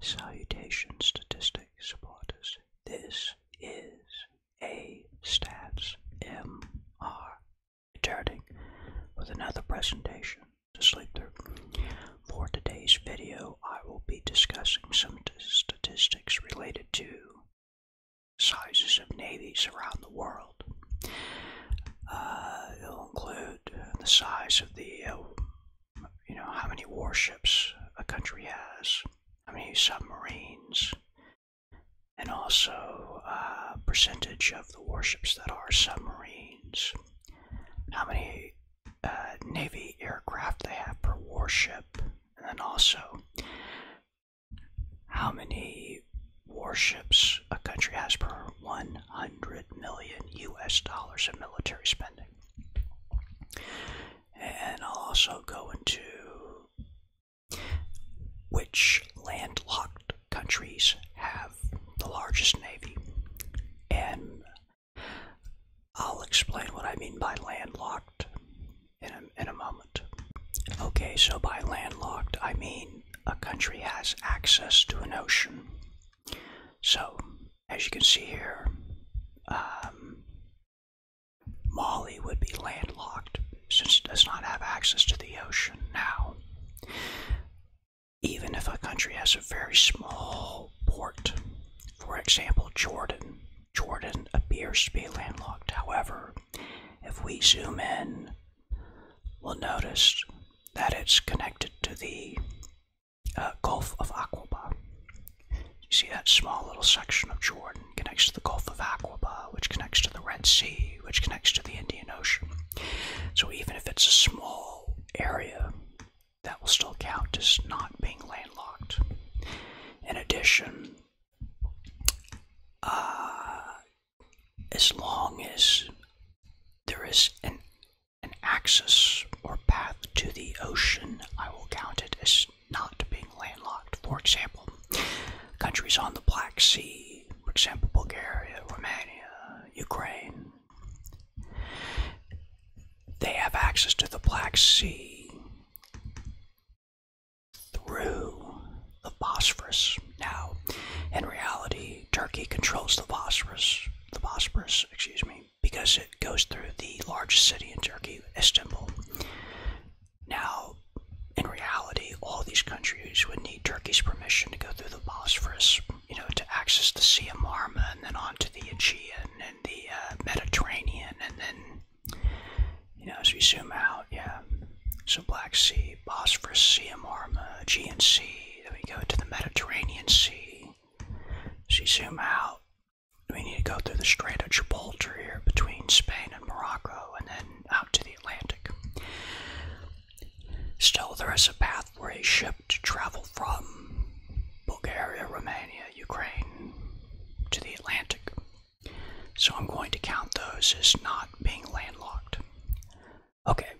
Salutation statistics supporters, this is a stats MR returning with another presentation to sleep through. For today's video, I will be discussing some statistics related to sizes of navies around the world. Uh, it'll include the size of the uh, you know, how many warships a country has, how many submarines, and also uh, percentage of the warships that are submarines, how many uh, Navy aircraft they have per warship, and then also how many warships a country has per 100 million US dollars in military spending. And I'll also go into which landlocked countries have the largest navy. And I'll explain what I mean by landlocked in a moment. Okay, so by landlocked, I mean a country has access to an ocean so, as you can see here, um, Mali would be landlocked since it does not have access to the ocean now. Even if a country has a very small port, for example, Jordan, Jordan appears to be landlocked. However, if we zoom in, we'll notice that it's connected to the uh, Gulf of Aquaba. You see that small little section of Jordan connects to the Gulf of Aquaba, which connects to the Red Sea, which connects to the Indian Ocean. So even if it's a small area, that will still count as not being landlocked. In addition, uh, as long as there is an an axis or path to the ocean, I will count it as not being landlocked. For example, countries on the Black Sea, for example, Bulgaria, Romania, Ukraine, they have access to the Black Sea through the Bosphorus. Now, in reality, Turkey. controls the Bosphorus, the Bosporus, excuse me, because it goes through the largest city in Turkey, Istanbul. Now, in reality, all these countries would need Turkey's permission to go through the Bosphorus, you know, to access the Sea of Marmara and then onto the Aegean and the uh, Mediterranean, and then, you know, as we zoom out, yeah, so Black Sea, Bosphorus, Sea of Marmara, Aegean Sea. Sea. Then we go to the Mediterranean Sea. So you zoom out. We need to go through the Strait of Gibraltar here between Spain and Morocco and then out to the Atlantic. Still, there is a path for a ship to travel from Bulgaria, Romania, Ukraine to the Atlantic. So I'm going to count those as not being landlocked. Okay,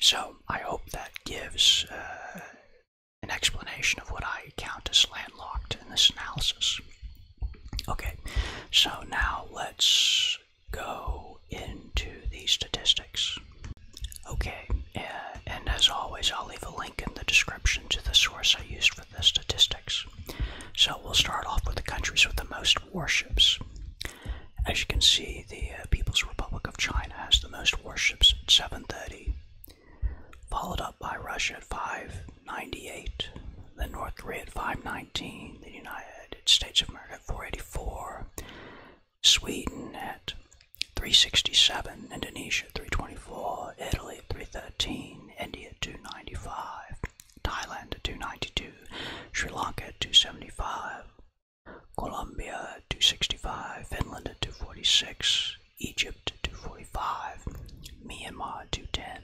so I hope that gives uh, an explanation of what I count as landlocked in this analysis. Okay, so now let's go into the statistics. Okay, uh, and as always, I'll leave a link in the description to the source I used for the statistics. So we'll start off with the countries with the most warships. As you can see, the uh, People's Republic of China has the most warships at 730, followed up by Russia at 598, the North Korea at 519, the United States of America at 484, Sweden at 367, Indonesia 324, Italy at 313, India 295. Thailand at 292, Sri Lanka at 275, Colombia at 265, Finland at 246, Egypt at 245, Myanmar at 210,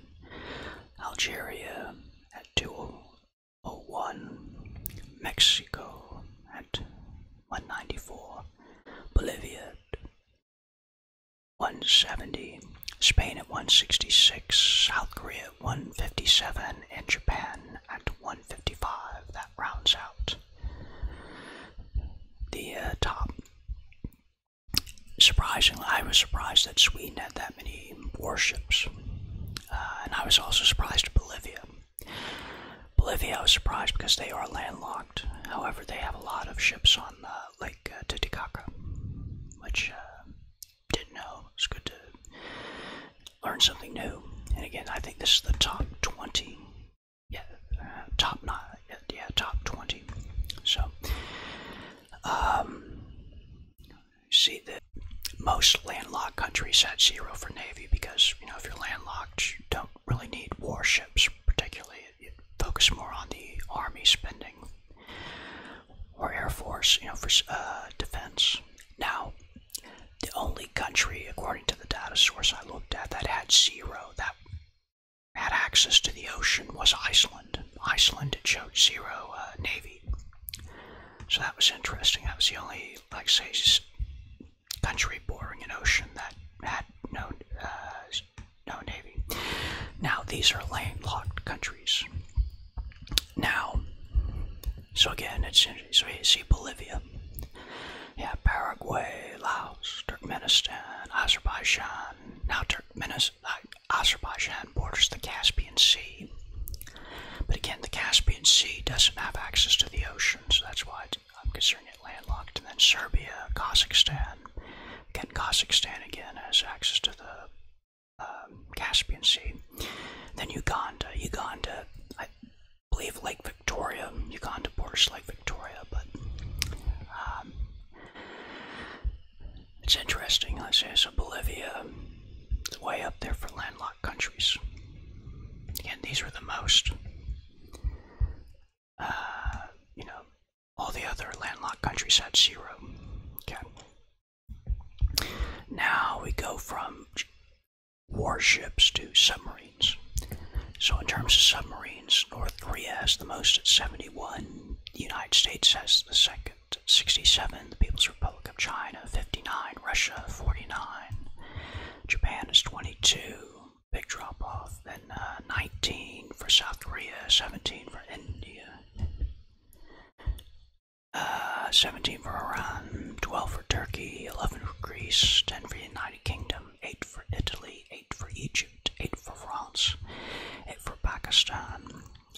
Algeria at 201, Mexico at 194, Bolivia at 170, Spain at 166, South Korea 157 in Japan at 155. That rounds out the uh, top. Surprisingly, I was surprised that Sweden had that many warships, uh, and I was also surprised at Bolivia. Bolivia, I was surprised because they are landlocked. However, they have a lot of ships on Lake uh, Titicaca, which didn't know. It's good to learn something new. And again, I think this is the top 20. Yeah, uh, top not. Yeah, top 20. So, um, see that most landlocked countries had zero for navy because you know if you're landlocked, you don't really need warships. Particularly, you focus more on the army spending or Air Force, you know, for uh, defense. Now, the only country, according to the data source I looked at, that had zero, that had access to the ocean was Iceland. Iceland it showed zero uh, navy, so that was interesting. That was the only, like say, country bordering an ocean that had no uh, no navy. Now these are landlocked countries, now, so again, it's so see Bolivia, yeah, Paraguay, Laos, Turkmenistan, Azerbaijan. Now, Turkmenistan, Azerbaijan borders the Caspian Sea, but again, the Caspian Sea doesn't have access to the ocean, so that's why I'm considering it landlocked. And then Serbia, Kazakhstan, again, Kazakhstan again has access to the um, Caspian Sea. Then Uganda. Uganda, I believe Lake Victoria. Uganda borders Lake Victoria, but um, it's interesting. Let's say so Bolivia, way up there for landlocked countries. Again, these were the most, uh, you know, all the other landlocked countries had zero. Okay. Now we go from warships to submarines. So, in terms of submarines, North Korea has the most at 71, United States has the second 67, the People's Republic of China 59, Russia 49, Japan is 22, big drop off, then uh, 19 for South Korea, 17 for India, uh, 17 for Iran, 12 for Turkey, 11 for Greece, 10 for the United Kingdom, 8 for Italy, 8 for Egypt, 8 for France, 8 for Pakistan,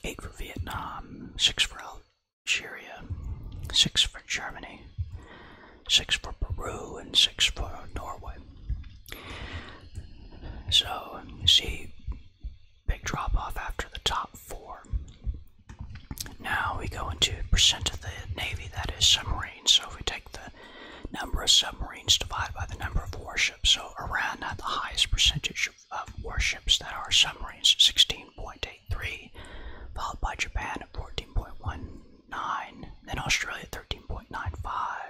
8 for Vietnam, 6 for Algeria, 6 for Germany, 6 for Peru, and 6 for Norway. So see, big drop off after the top four. Now we go into percent of the Navy, that is submarines. So if we take the number of submarines divided by the number of warships, so Iran had the highest percentage of, warships that are submarines, 16.83, followed by Japan at 14.19, then Australia 13.95,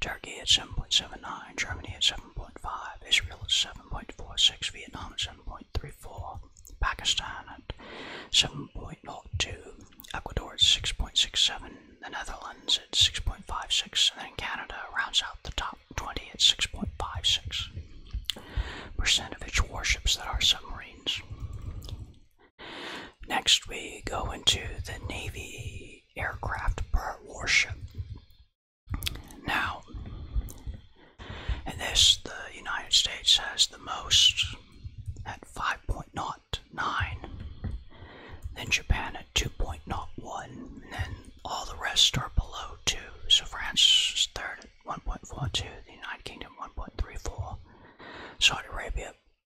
Turkey at 7.79, Germany at 7.5, Israel at 7.46, Vietnam at 7.34, Pakistan at 7.02, Ecuador at 6.67, the Netherlands at 6.56, and then Canada rounds out the top 20 at 6.56% of its warships that are submarines. Next, we go into the Navy aircraft per warship. Now, in this, the United States has the most at 5.09, then Japan at 2.01, and then all the rest are below 2. So France is third at 1.42, the United Kingdom 1.34, Saudi Arabia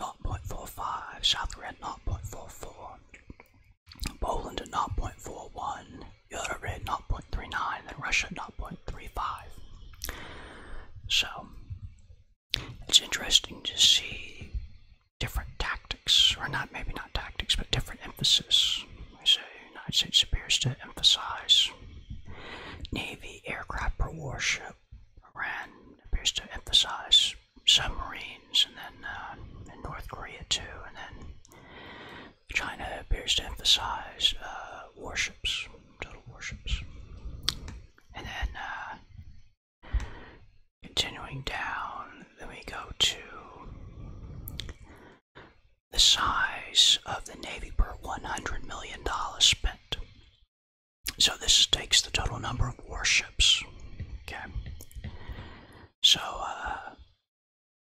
0.45, South Korea 0.44, Poland 0.41, Uruguay 0.39, and Russia 0.35. So it's interesting to see different tactics, or not maybe not tactics, but different emphasis. I say United States appears to emphasize Navy aircraft or warship Iran appears to emphasize submarines, and then uh, North Korea too, and then China appears to emphasize uh, warships, total warships. And then uh, continuing down, then we go to the size of the Navy per $100 million spent. So this takes the total number of warships. Okay. So uh,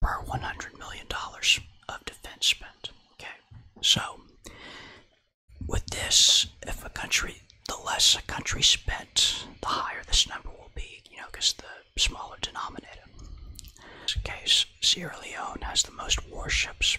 per one hundred million dollars of defense spent. Okay. So with this, if a country, the less a country spent, the higher this number will be. You know, because the smaller denominator. In this case, Sierra Leone has the most warships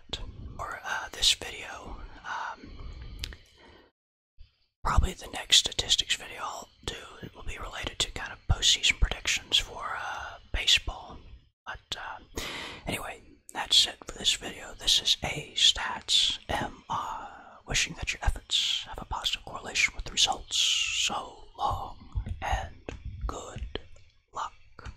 announcement uh, this video. Um, probably the next statistics video I'll do will be related to kind of postseason predictions for uh, baseball. But um, anyway, that's it for this video. This is A Stats M. Uh, wishing that your efforts have a positive correlation with the results. So long and good luck.